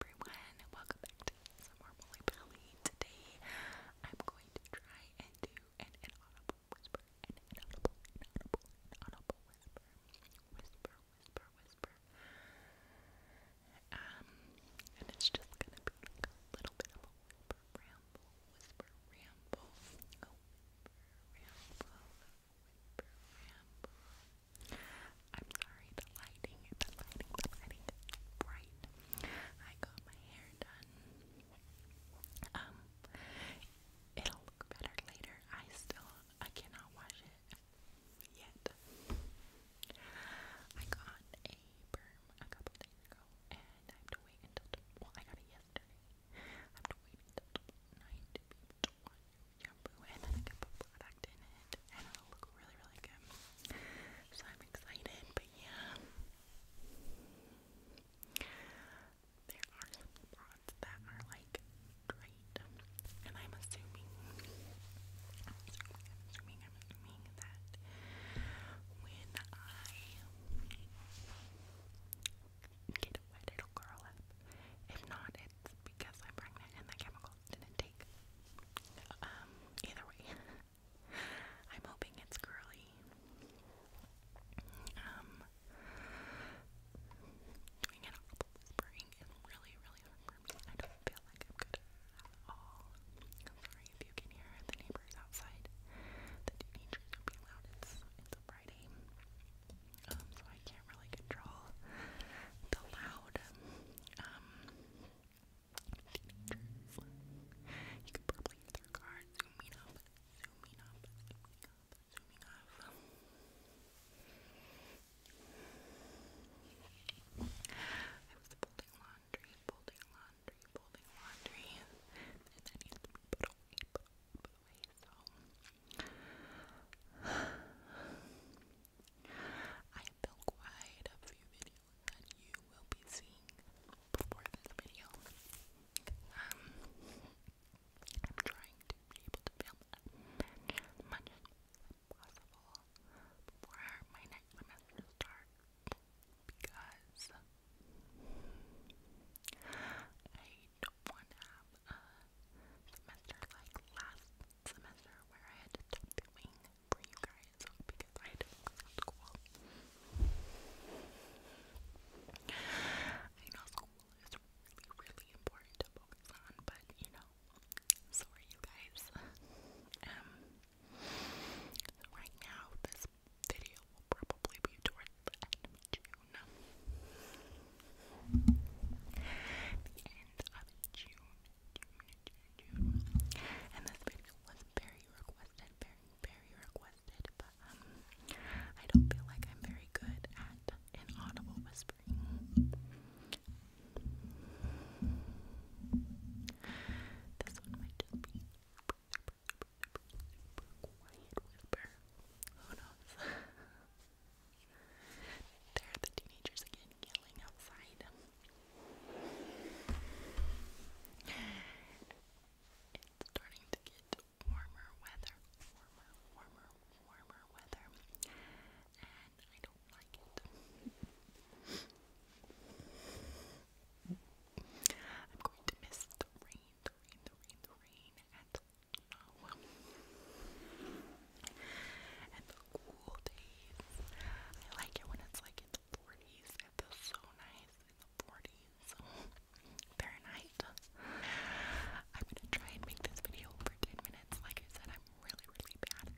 everyone, welcome back to some more Molly Today I'm going to try and do an inaudible whisper, an inaudible, inaudible, inaudible whisper, whisper, whisper, whisper. Um, and it's just gonna be a little bit of a whisper ramble, whisper ramble, oh, whisper ramble, whisper ramble. I'm sorry, the lighting, the lighting, the lighting is bright. I got my hair done. Um, it'll look better later. I still, I cannot wash it yet. I got a perm a couple days ago, and I have to wait until, well, I got it yesterday. have to wait until tonight to be able to and then I can product effect in and it'll look really, really good. So I'm excited, but yeah. There are spots that are like great. And I'm assuming, assuming, assuming, that when I get wet, it'll curl up. If not, it's because I'm pregnant and the chemicals didn't take. Um, either way, I'm hoping it's curly. Um, doing an apple whispering is really, really hard for me. I don't feel like I'm good at all. I'm sorry if you can hear the neighbors outside. The teenagers are being loud. It's, it's a Friday. Um, so I can't really control the loud, um, Features. You could probably use their zooming up, zooming up, zooming up, zooming up. I was folding laundry, folding laundry, folding laundry, and that needs to be away, I have built quite a few videos that you will be seeing before this video. Um, I'm trying to be able to film as much as possible before my next semester starts because I don't want to have a semester like last semester where I had to stop doing for you guys because I don't go to school. I know school is really, really important to focus on, but you know, so you guys. Um, right now, this video will probably be towards the end of June. The end of June. And this video was very requested, very, very requested, but um, I don't feel like I'm very good at an whispering. This one might just be quiet whisper. Who knows? There are the teenagers again yelling outside. It's starting to get warmer weather, warmer, warmer, warmer weather, and I don't like it. I'm going to miss the rain, the rain, the rain, the rain, and no and the cool days. I like it when it's like in the 40s. It feels so nice in the 40s. Fahrenheit. I'm gonna try and make this video over 10 minutes. Like I said, I'm really, really bad at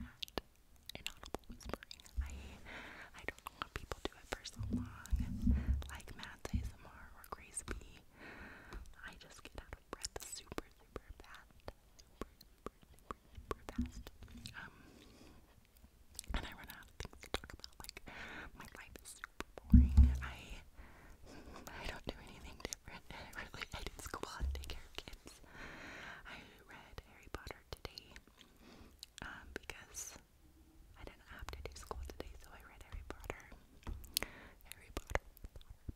inaudible whispering. I I don't know people do it for so long. Like Matt's ASMR or Grace B. I just get out of breath super, super fast. Um, and I run out of talk about. Like, my life is super boring. I I don't do anything different. I really I did school and take care of kids. I read Harry Potter today um, because I didn't have to do school today, so I read Harry Potter. Harry Potter,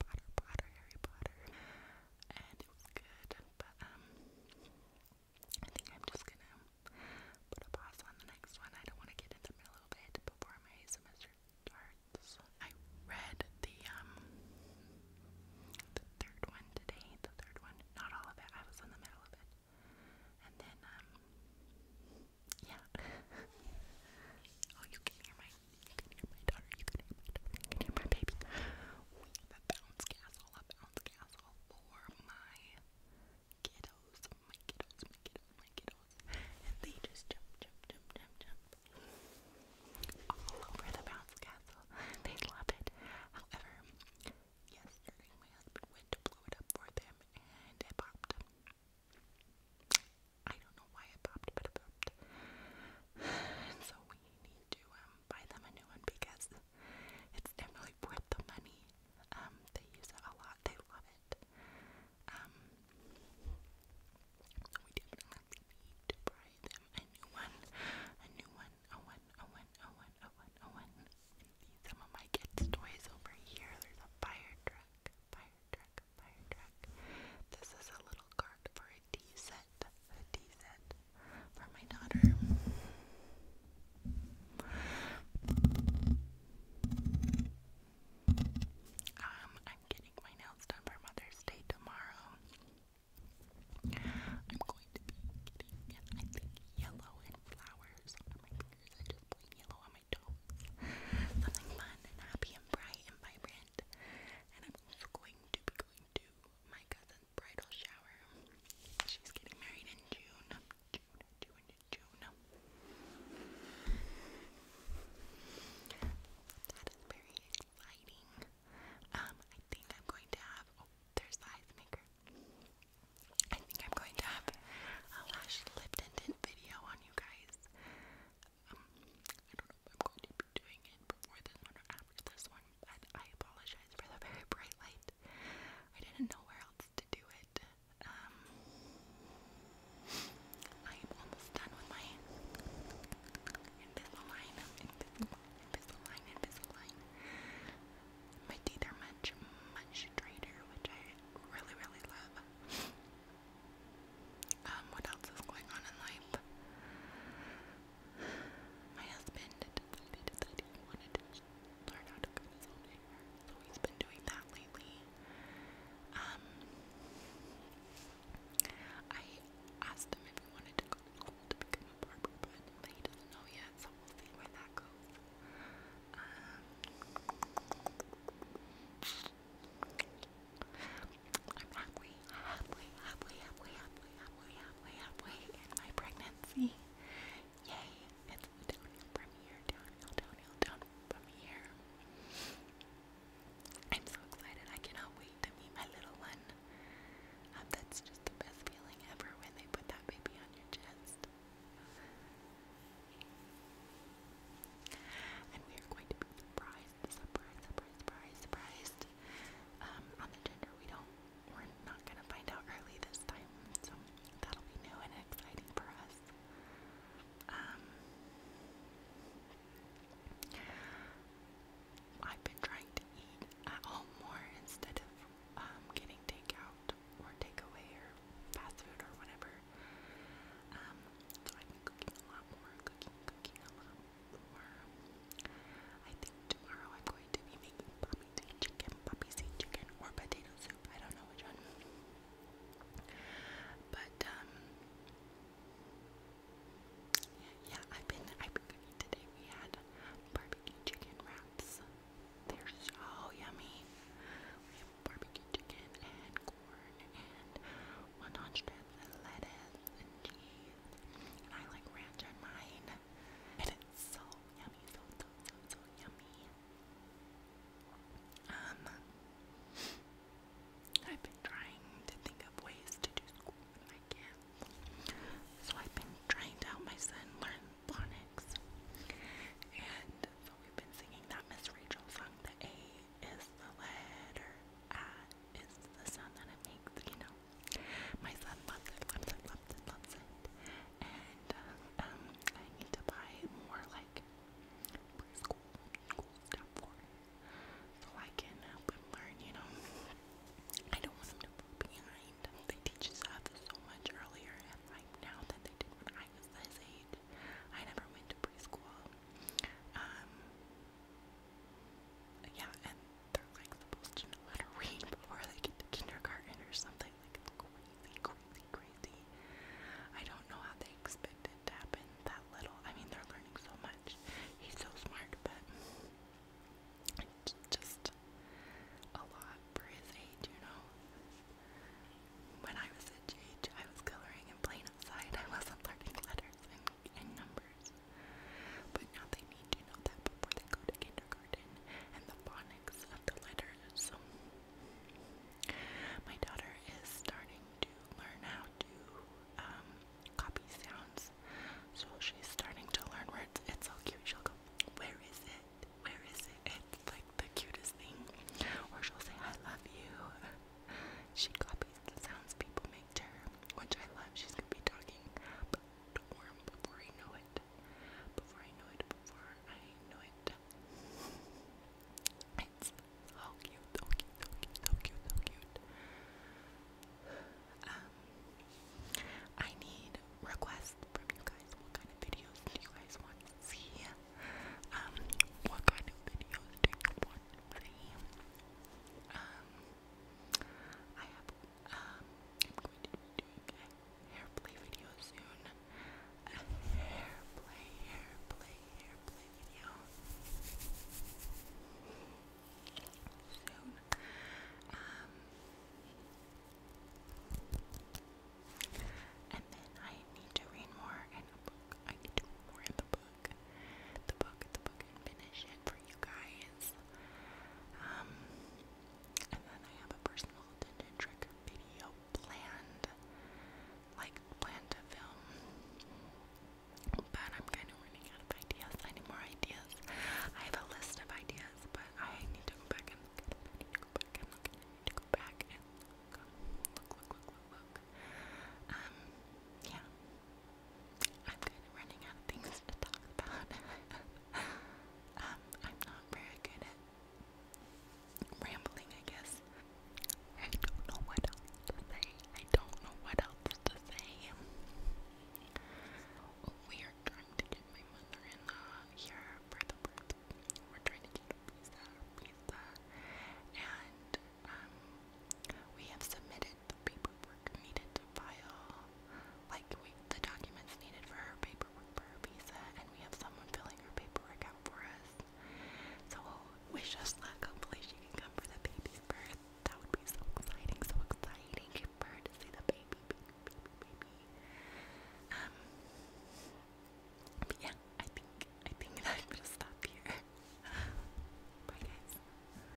Potter, Potter Harry Potter. And it was good. But um I think I'm just gonna put a pause on the next one. I don't wanna get into my little bit before my semester starts. I read the um the third one today, the third one. Not all of it, I was in the middle of it. And then um yeah. oh you can hear my you can hear my daughter, you can hear my baby the bounce castle, a bounce castle for my kiddos, my kiddos, my kiddos, my kiddos. And they just jump, jump, jump, jump, jump. All over the bounce castle. They love it. However, yesterday my husband went to blow it up for them and it popped. I don't know why it popped, but it popped. so we need to um um, buy them a new one because it's definitely worth the money. Um, they use it a lot, they love it. Um, so we definitely need to buy them a new one, a new one, a one, a one, a one, a one, a one. See some of my kids' toys over here. There's a fire truck, fire truck, fire truck. This is a little cart for a tea set, a set for my daughter. Um, I'm getting my nails done for Mother's Day tomorrow. I'm going to be getting, yellow and flowers on my fingers. I just put yellow on my toes. Something fun and happy and bright and vibrant. And I'm also going to be going to my cousin bridal shower. She's getting married in June. June, June, June. That is very exciting. Um, I think I'm going to have. Oh, there's the maker. I think I'm going to have a lash lip tint video on you guys. Um, I don't know if I'm going to be doing it before this one or after this one, I apologize for the very bright light. I didn't know where else to do it. Um, I am almost done with my Invisalign, Invisalign, Invisalign, Invisalign. My teeth are much, much straighter, which I really, really love. Um, what else is going on in life? My husband decided that he wanted to learn how to cut his own hair, so he's been doing that lately. Um, I asked him if he wanted to go to school to become a barber, but he doesn't know yet, so we'll see where that goes. Um, I'm halfway, halfway, halfway, halfway, halfway, halfway, halfway, in my pregnancy. Yay! It's downhill from here, downhill, downhill, downhill from here. I'm so excited. I cannot wait to meet my little one. that's just the best feeling ever when they put that baby on your chest. And we are going to be surprised surprised, surprised, surprised, um, on the gender, we don't, we're not gonna find out early this time, so that'll be new and exciting for us. Um, I've been trying to eat at home more instead of um, getting takeout or takeaway or fast food or whatever. Um, so I've been cooking a lot more, cooking, cooking a lot I think tomorrow I'm going to be making poppy chicken, poppy chicken, or potato soup. I don't know which one. But um, yeah, I've been I've been cooking today. We had barbecue chicken wraps. They're so yummy. We have barbecue chicken and corn and one hundred lettuce and cheese. I like ranch on mine. And it's so yummy, so, so, so, yummy. Um, I've been trying to think of ways to do school and I can't. So I've been trying to help my son learn phonics. And so we've been singing that Miss Rachel song, the A is the letter I is the sound that it makes, you know. My son loves it, loves it, loves it, loves it. And um, I need to buy more like preschool stuff for so I can help him learn, you know. I don't want him to fall behind. They teach us so much earlier and like now than they did when I age. I never went to preschool. Um, yeah, and they're like supposed to know how to read before they get to kindergarten or something. Like crazy, crazy, crazy. I don't know how they expect it to happen that little. I mean, they're learning so much. He's so smart, but it's just a lot for his age, you know. When I was at age, I was coloring and playing outside. I wasn't learning letters and numbers. But now they need to know that before they go to kindergarten and the phonics of the letters. My daughter is starting to learn how to um, copy sounds. So she's starting to learn words. It's so cute. She'll go, Where is it? Where is it? It's like the cutest thing. Or she'll say, I love you. She copies the sounds people make which I love. She's gonna be talking but warm before I know it. Before I know it, before I know it. It's so cute, so cute, so cute, so cute. Um, I need requests from you guys. What kind of videos do you guys want to see? Um, what kind of videos do you want to see? Um, I have, um, I'm going to be doing a hair play video soon. A hair play, hair play, hair play video. Soon. Um, and then I need to read more in a book. I need to read more in the book. The book, the book, finish it for you guys. Um, and then I have a personal attention video planned, like planned to film, but I'm kind of running out of ideas. I more ideas. I have a list of ideas, but I need to go back and look I need to go back and look I need to go back and look. Look, look, look, look, look. Um, yeah. I'm kind of running out of things to talk about. Um, I'm not very good at rambling, I guess. I don't know what else to say. I don't know what else to say. we are trying to get my mother-in-law here for the birth. We're trying to get pizza, pizza, and um, we have submitted the paperwork needed to file, like we, the documents needed for our paperwork for her visa, and we have someone filling our paperwork out for us. So wish us luck. Hopefully she can come for the baby's birth. That would be so exciting, so exciting for to see the baby, baby, baby, Um, but yeah, I think I think I'm going stop here. Bye guys.